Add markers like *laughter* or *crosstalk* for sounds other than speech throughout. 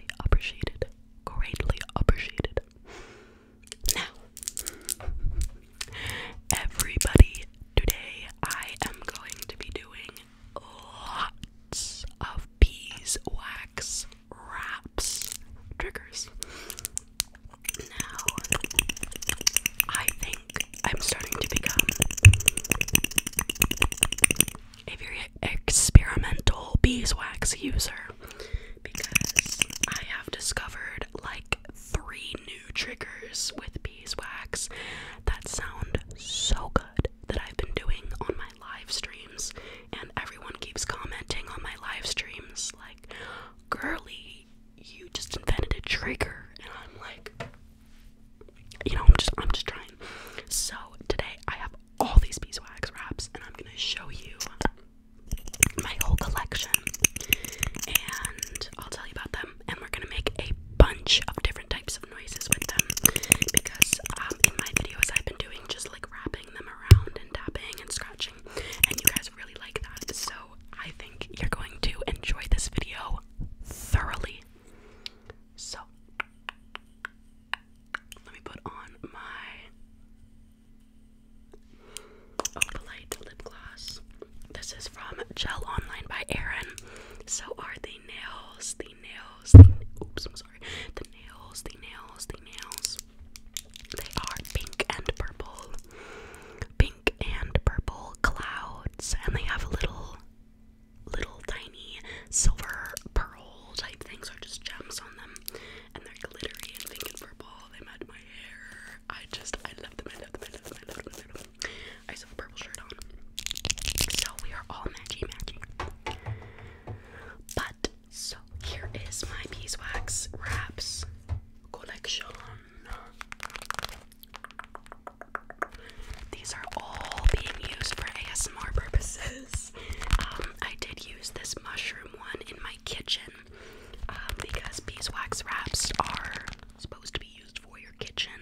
greatly appreciated. Greatly appreciated. Now, everybody, today I am going to be doing lots of beeswax wraps triggers. Now, I think I'm starting to become a very experimental beeswax user because I have discovered like three new triggers with beeswax that sound so good that I've been doing on my live streams, and everyone keeps commenting on my live streams like, Girly, you just invented a trigger, and I'm like, you know, I'm just I'm just trying. So today I have all these beeswax wraps and I'm gonna show you my whole collection and I'll tell you about them and we're gonna make a bunch of different types of noises with them because um, in my videos I've been doing just like wrapping them around and tapping and scratching and you guys really like that so I think you're going to enjoy this video thoroughly. So let me put on my Opalite lip gloss. This is from Gel Online by Erin. So are the nails, the nails, oops, I'm sorry. The nails, the nails, the nails. They are pink and purple. Pink and purple clouds, and they have a little little tiny silver pearl type things or just gems on them and they're glittery and pink and purple. They match my hair. I just I love them, I love them, I love them, I love them, I love them. I just have a purple shirt on. So we are all matchy matchy. But so here is my beeswax wraps collection. These are all being used for ASMR purposes. *laughs* Um, I did use this mushroom one in my kitchen um, because beeswax wraps are supposed to be used for your kitchen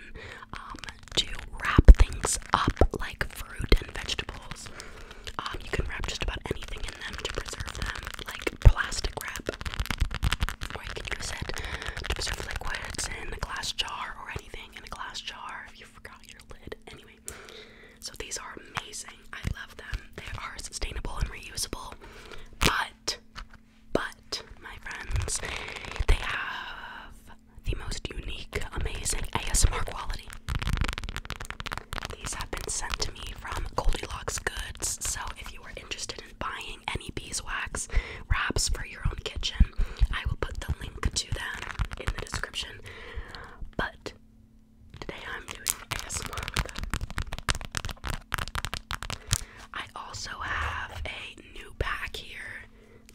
um, to wrap things up like fruit and vegetables. you can wrap just about anything in them to preserve them, like plastic wrap, or you can use it to preserve liquids in a glass jar or anything in a glass jar if you forgot your lid. Anyway. So these are amazing. I love them. They are sustainable and reusable. But but my friends, they have the most unique, amazing ASMR quality. These have been sent to me from Goldilocks Goods, so if you are interested in buying any beeswax wraps for your own kitchen, I will put the link to them in the description but today I'm doing ASMR with I also have a new pack here,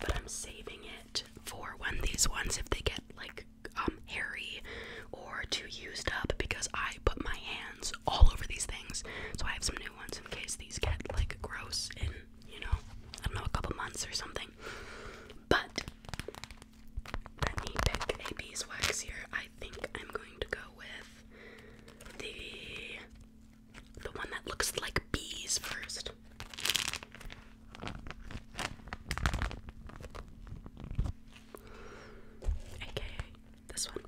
but I'm saving it for when these ones, if they get like um hairy or too used up, because I put my hands all over these things. So I have some new ones in case these get like gross in, you know, I don't know, a couple months or something. But let me pick a beeswax here. I think I'm going to go with the the one that looks like bees first. AKA this one.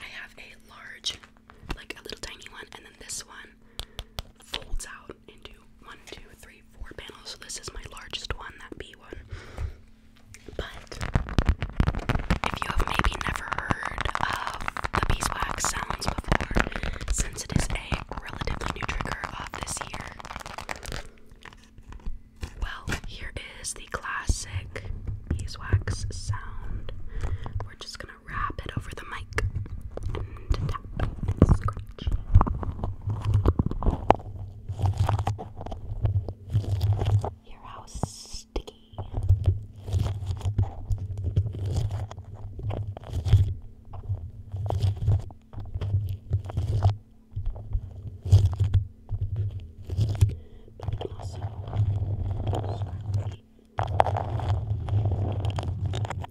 I have a large, like a little tiny one, and then this one folds out into one, two, three, four panels. So this is my largest one, that B one. But if you have maybe never heard of the beeswax sounds before, since it is a relatively new trigger of this year, well, here is the classic beeswax sound. We're just gonna wrap it over the mic much. Your house is sticky. But you can also scratch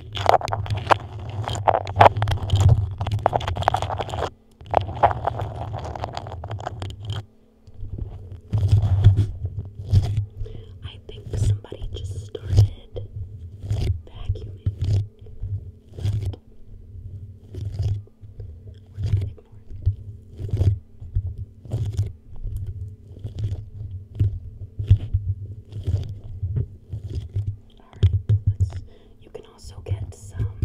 I think somebody just started vacuuming. But we're gonna ignore it you can also get some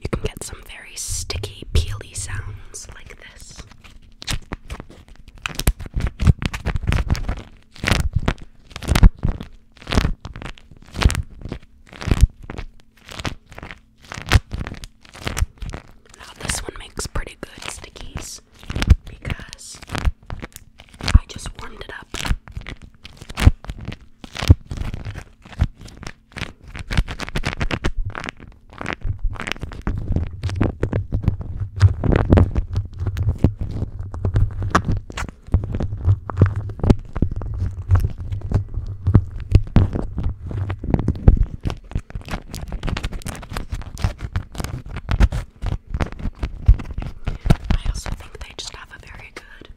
you can get some very sticky, peely sounds like this. Now, this one makes pretty good stickies because I just warmed it up. I also think they just have a very good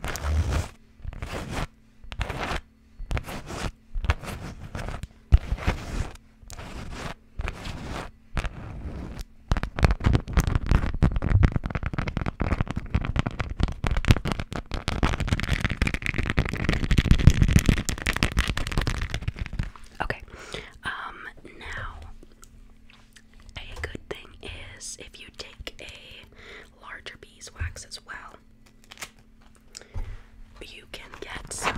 Okay. Um now a good thing is if you take a larger beeswax as well, you can get some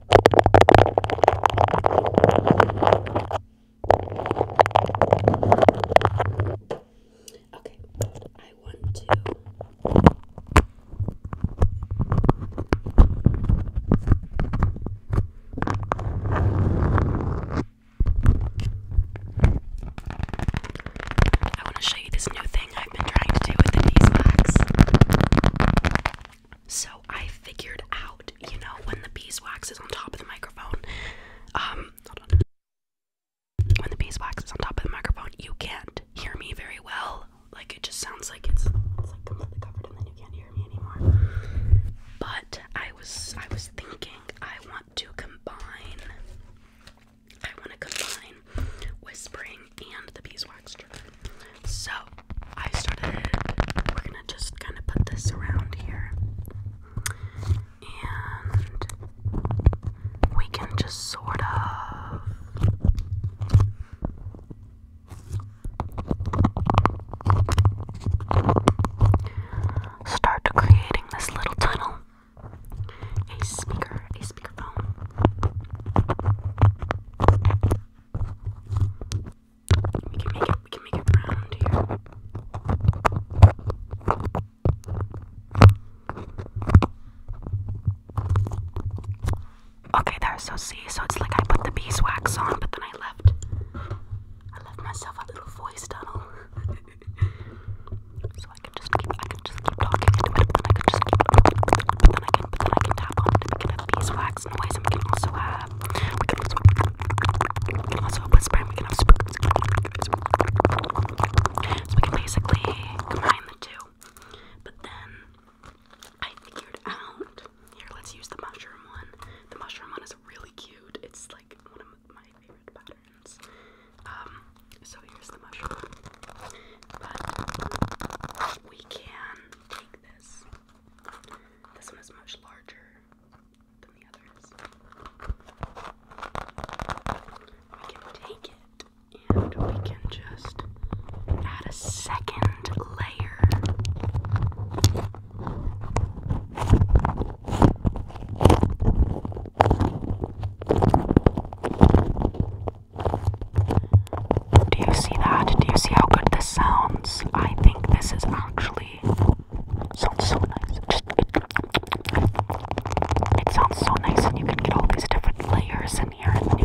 Okay, I want to. I want to show you this new thing I've been trying to do with the knee slacks. So I figured out, you know, when the beeswax is on top of the microphone, um, When the beeswax is on top of the microphone, you can't hear me very well. Like it just sounds like it's, it's like completely covered, and then you can't hear me anymore. But I was I was thinking I want to combine. I want to combine whispering and the beeswax trigger. So I started, we're gonna just kind of put this around here. And we can just sort of start creating this little tunnel. A speaker, a speakerphone. We can make it round here. Okay, there, so see, so it's like I put the beeswax on, but then I left I left myself a little voice tunnel. *laughs* so I could just I could just keep talking into it, but then I could just but then I can but then I can tap on it, we can have beeswax noise and we can also have that. We can also, we can also whisper and we can have spookers. So we can basically combine the two. But then I figured out here, let's use the mushroom one. The mushroom one is really cute. It's like one of my favorite patterns. Um, so here's the mushroom. But we can take this this one is much larger than the others. We can take it and we can just add a second layer. Do you see that? Do you see how good this sounds? I think this is actually sounds so nice. Just it, sounds so nice, and you can get all these different layers in here. sounds.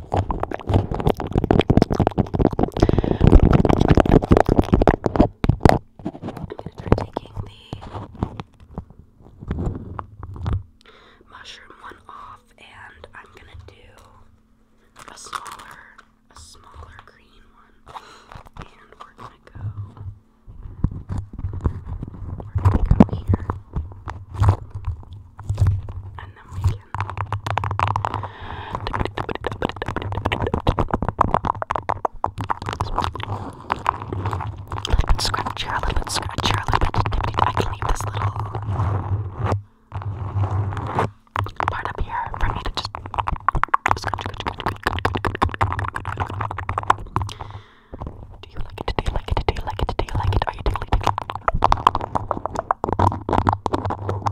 gonna try taking the mushroom one off, and I'm gonna do a smaller, a smaller green one, and we're gonna go. We're gonna go here, and then we get a little bit scratchier, a little bit scratchier, a little bit dippity. I can leave this little part up here for me to just Do you like it? Do you like it? Do you like it? Do you like it? Are you tickly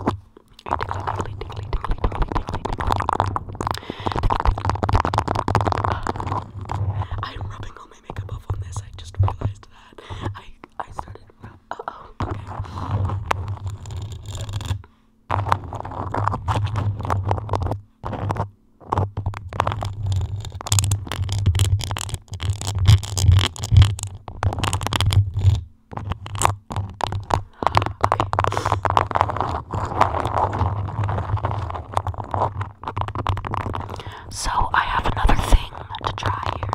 tickly? I'm rubbing all my makeup off on this. I just realized that. I I started. Uh oh. Okay. So I have another thing to try here.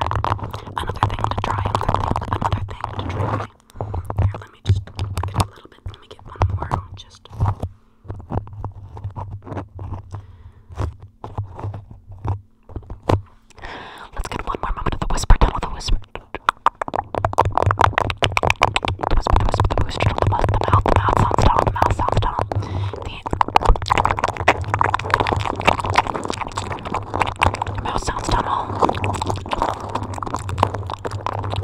Another thing to try. Another thing, another thing to try. Here, let me just get a little bit. Let me get one more. Just. Okay. Let's get one more moment of the whisper, done with the whisper. The whisper, the whisper, the whisper, the mouth, the mouth, the mouth sounds down, the mouth sounds down. The mouth sounds down all. Are you getting tingles again? Are you getting tingles again?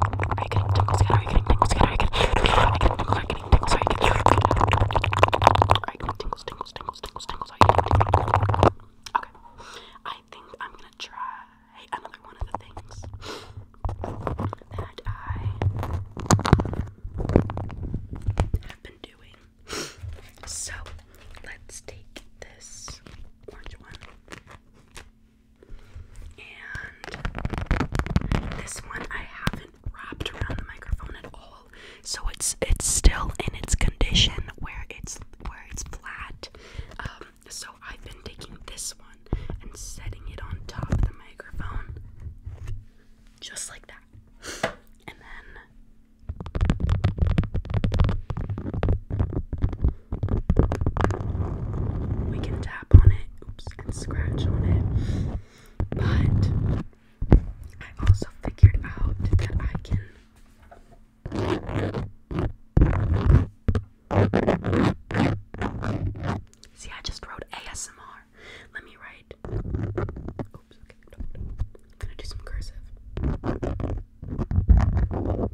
Are you getting tingles again? Are you getting tingles again? I think I'm gonna try another one of the things that I have been doing. So let's take this orange one. And this one I have wrapped around the microphone at all. So it's it's still in its condition where it's where it's flat. Um, so I've been taking this one and setting it on top of the microphone, just like that, and then we can tap on it, oops, and scratch on it. But I also figured out that I can. See, I just wrote ASMR. Let me write. Oops, okay. I'm gonna do some cursive. I wrote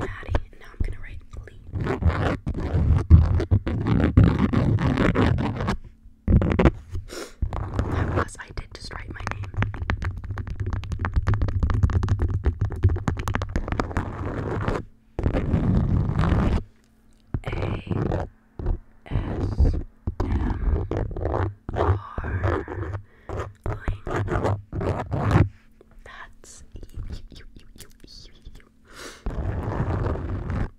Maddie, now I'm gonna write happy. That was, I did just write my name. A S M R Ling. That's you, you, you, you, you, you.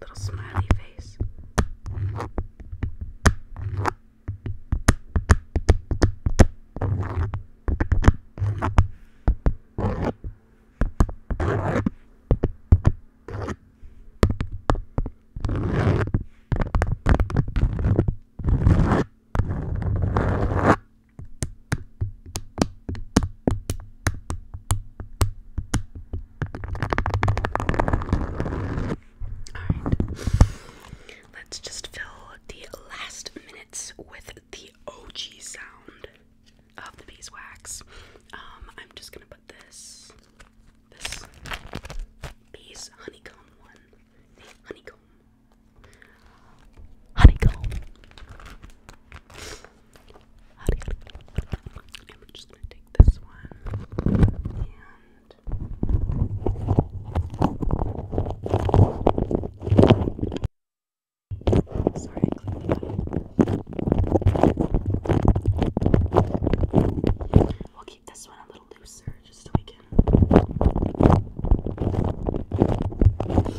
Little smiley face. Alright. Let's just fill the last minutes with the OG sound of the beeswax. Um, I'm just gonna put this this bees honeycomb one. honeycomb. Honeycomb. And we're just gonna take this one Sorry, We'll keep this one a little looser just so we can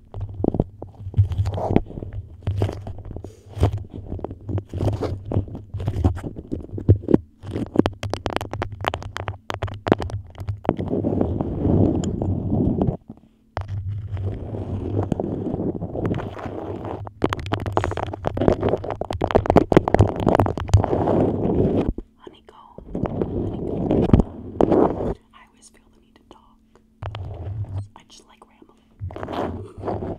Honeycomb. Honeycomb. I always feel the need to talk talk. I just like rambling.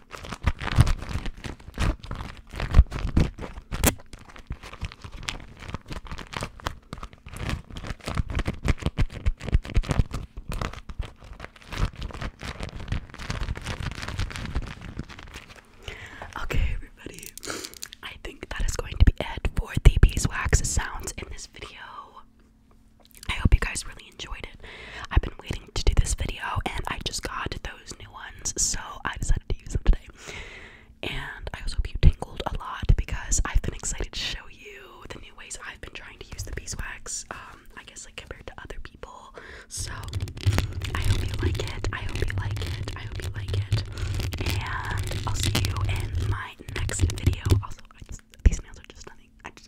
Okay, everybody, I think that is going to be it for the beeswax sounds in this video. I hope you guys really enjoyed it. I've been waiting to do this video and I just got those new ones, so I decided to use them today. And I also hope you tingled a lot because I've been excited to show you the new ways I've been trying to use the beeswax, um, I guess, like compared to other people. So I hope you like it. I hope you like it. I hope you like it. And I'll see you in my next video. Also, these nails are just nothing. I just